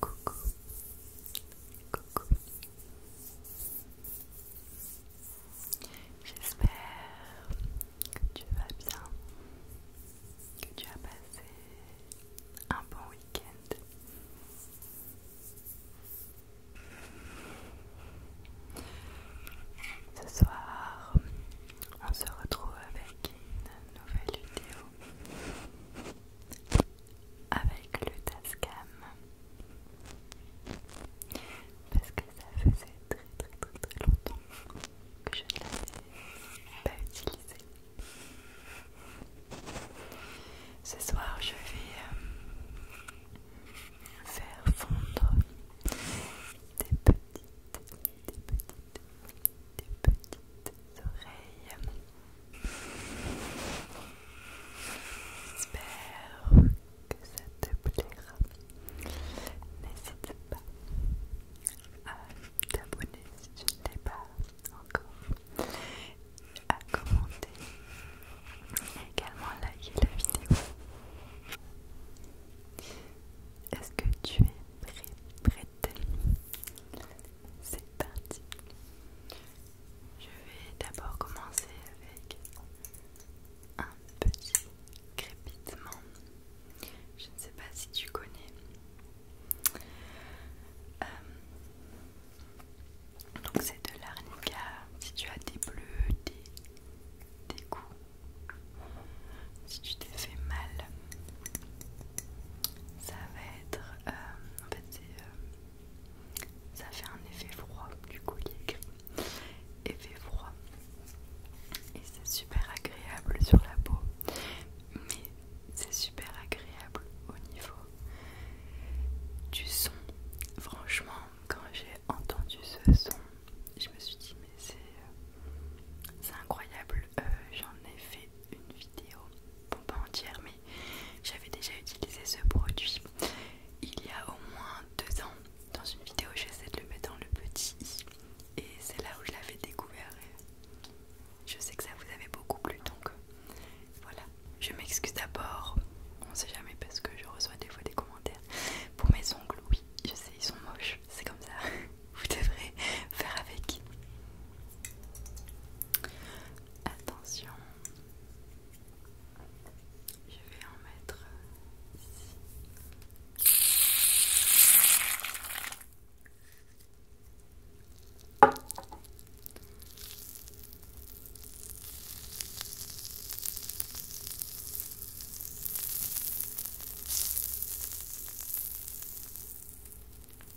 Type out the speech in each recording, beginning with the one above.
Coucou, coucou. J'espère que tu vas bien, que tu as passé un bon week-end. Ce soir, on se retrouve avec une nouvelle vidéo avec le Tascam parce que ça faisait très très très très longtemps que je ne l'avais pas utilisé. Ce soir je vais euh, faire fondre des petites des petites oreilles. J'espère que ça te plaira. N'hésite pas à t'abonner si tu ne l'es pas encore, à commenter et également à liker la vidéo. Est-ce que tu es prêt, c'est parti Je vais d'abord commencer avec un petit crépitement. Je ne sais pas si tu connais. Euh, donc c'est de l'arnica si tu as des bleus, des, des coups si tu t'es fait mal, ça va être. Euh, en fait, c'est. Euh, ça fait un effet froid du collier. Effet froid. Et c'est super agréable sur la peau. Mais c'est super agréable au niveau du son. Franchement, quand j'ai entendu ce son, je me suis dit, mais c'est. Euh, c'est incroyable, j'en ai fait une vidéo, bon pas entière, mais j'avais déjà utilisé ce produit il y a au moins deux ans. Dans une vidéo, j'essaie de le mettre dans le petit i, et c'est là où je l'avais découvert. Je sais que ça vous avait beaucoup plu, donc voilà. Je m'excuse d'abord, on sait jamais parce que je reçois des fois des commentaires. Pour mes ongles, oui, je sais, ils sont moches c'est comme ça, vous devrez faire avec. Attention, je vais en mettre euh,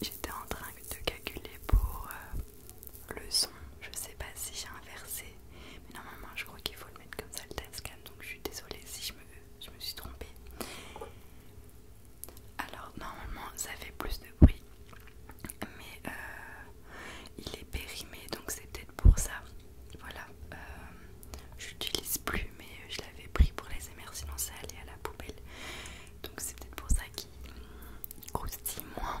j'étais en train de calculer pour euh, le son. Je sais pas si j'ai inversé, mais normalement je crois qu'il faut le mettre comme ça le Tascam. Donc je suis désolée si je me, suis trompée. Alors normalement ça fait plus de bruit, mais euh, il est périmé donc c'est peut-être pour ça. Voilà, euh, j'utilise plus, mais je l'avais pris pour les émers, sinon ça allait à la poubelle. Donc c'est peut-être pour ça qu'il croustille moins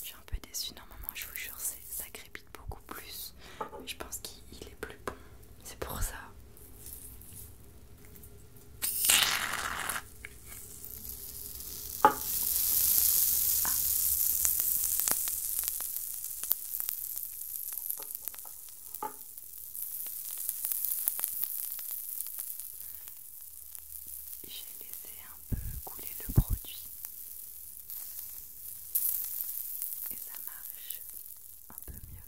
Je suis un peu déçue, normalement je vous jure ça crépite beaucoup plus. Mais je pense qu'il est plus bon, c'est pour ça j'ai laissé un peu couler le produit et ça marche un peu mieux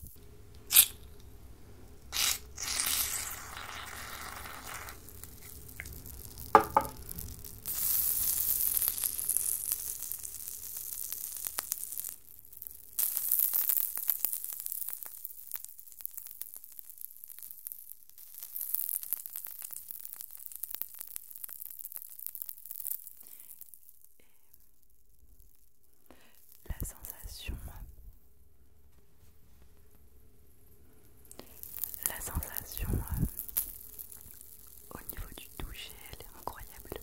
la sensation, la sensation euh, au niveau du toucher, elle est incroyable.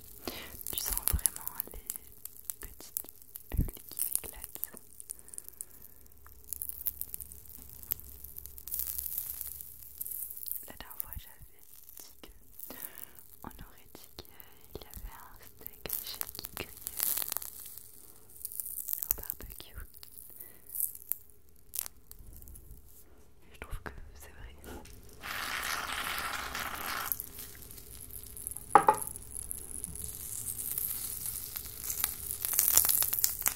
Tu sens vraiment les petites bulles qui s'éclatent. La dernière fois, j'avais dit que on aurait dit qu'il y avait un steak chez qui au barbecue. je trouve que c'est vrai.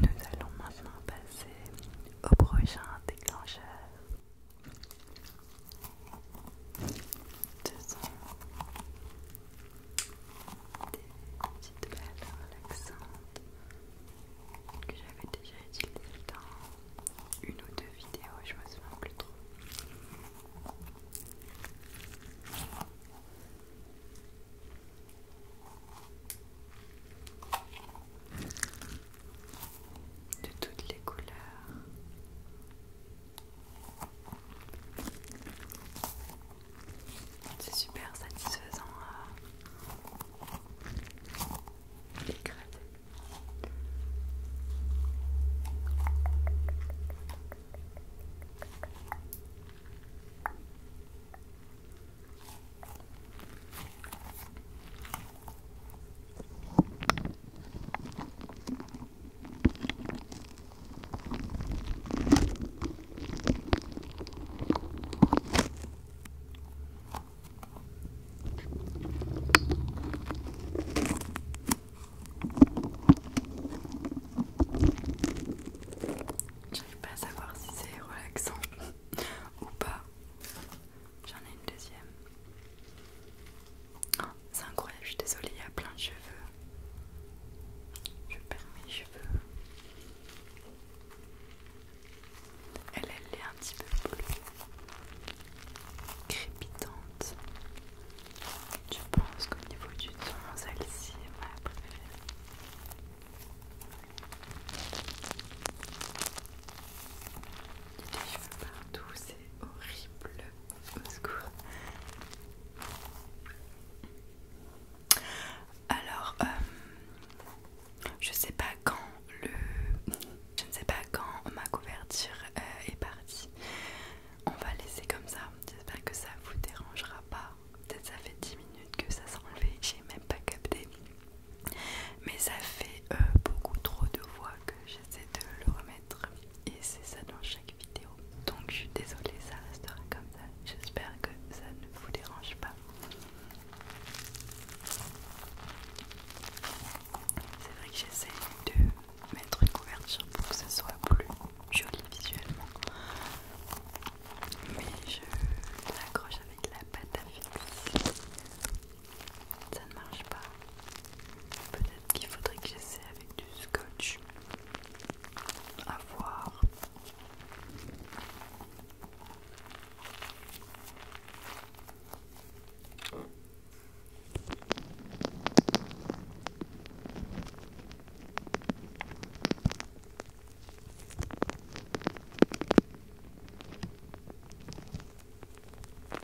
Nous allons maintenant passer au prochain déclencheur. Ce sont des petites belles relaxantes que j'avais déjà utilisées dans une ou deux vidéos, je me souviens plus trop. De toutes les couleurs, c'est super satisfaisant à euh, J'arrive pas à savoir si c'est relaxant ou pas. J'en ai une deuxième c'est incroyable, je suis désolée, il y a plein de cheveux. Je perds mes cheveux. Elle, elle est un petit peu plus crépitante. Je pense qu'au niveau du ton, celle-ci est ma préférée. Il y a des cheveux partout, c'est horrible. Alors, euh, je sais pas quand le, je ne sais pas quand ma couverture euh, est partie. On va laisser comme ça. J'espère que ça vous dérangera pas. Peut-être ça fait 10 minutes que ça s'est enlevé. J'ai même pas capté. Mais ça fait euh, beaucoup trop de voix que c'est de le remettre et c'est ça dans chaque vidéo. Donc je suis désolée, ça restera comme ça. J'espère que ça ne vous dérange pas. C'est vrai que j'essaie de mettre une couverture pour que ce soit plus joli visuellement. Mais je l'accroche avec la pâte à fixe. Ça ne marche pas. Peut-être qu'il faudrait que j'essaie avec du scotch. À voir.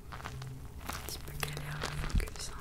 Un petit peu galère le focus. Hein.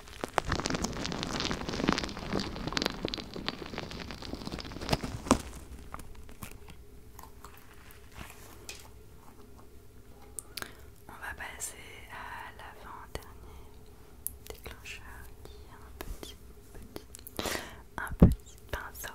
On va passer à l'avant-dernier déclencheur qui est un petit, petit, un petit pinceau.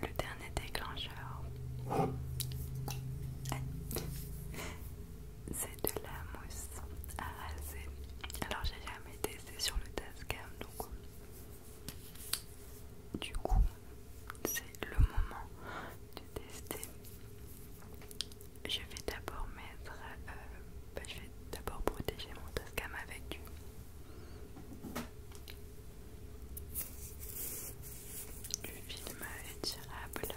le dernier déclencheur, c'est de la mousse à raser. Alors j'ai jamais testé sur le Tascam, donc du coup c'est le moment de tester. Je vais d'abord mettre, euh, bah, je vais d'abord protéger mon Tascam avec du le film est tirable.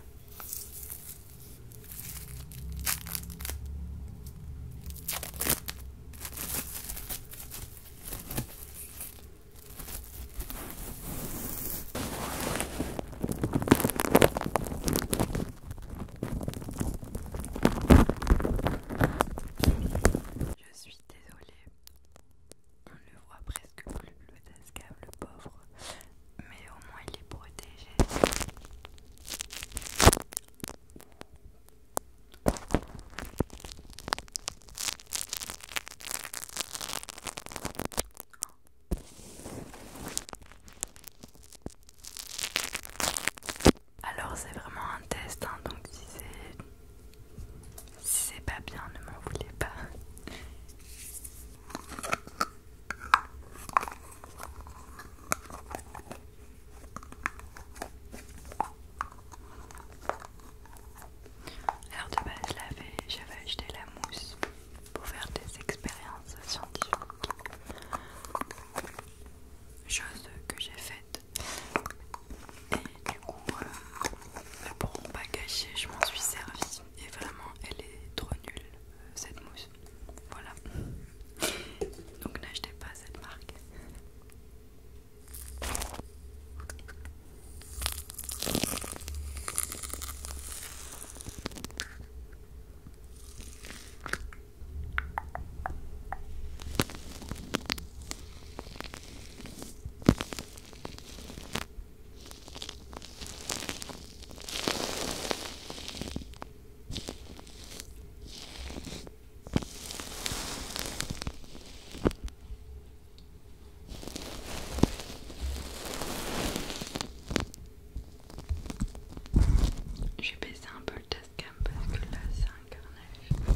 Je suis désolée, on ne voit presque plus le tascable le pauvre, mais au moins il est protégé. Alors c'est vraiment un test, hein, donc si c'est si c'est pas bien, ne m'en voulez pas. Alors de base, j'avais acheté la mousse pour faire des expériences scientifiques. Chose que j'ai faite et du coup, euh, pour pas gâcher, je m'en suis servie. Et vraiment, elle est trop nulle, euh, cette mousse. Voilà. Donc n'achetez pas cette marque. J'ai baissé un peu le tascam parce que là c'est un carnage.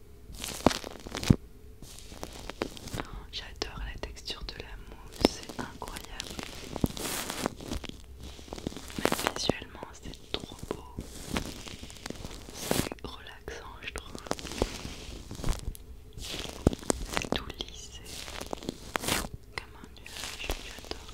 J'adore la texture de la mousse, c'est incroyable. visuellement, c'est trop beau. C'est relaxant, je trouve. C'est tout lissé, comme un nuage, j'adore.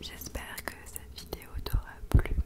J'espère que cette vidéo t'aura plu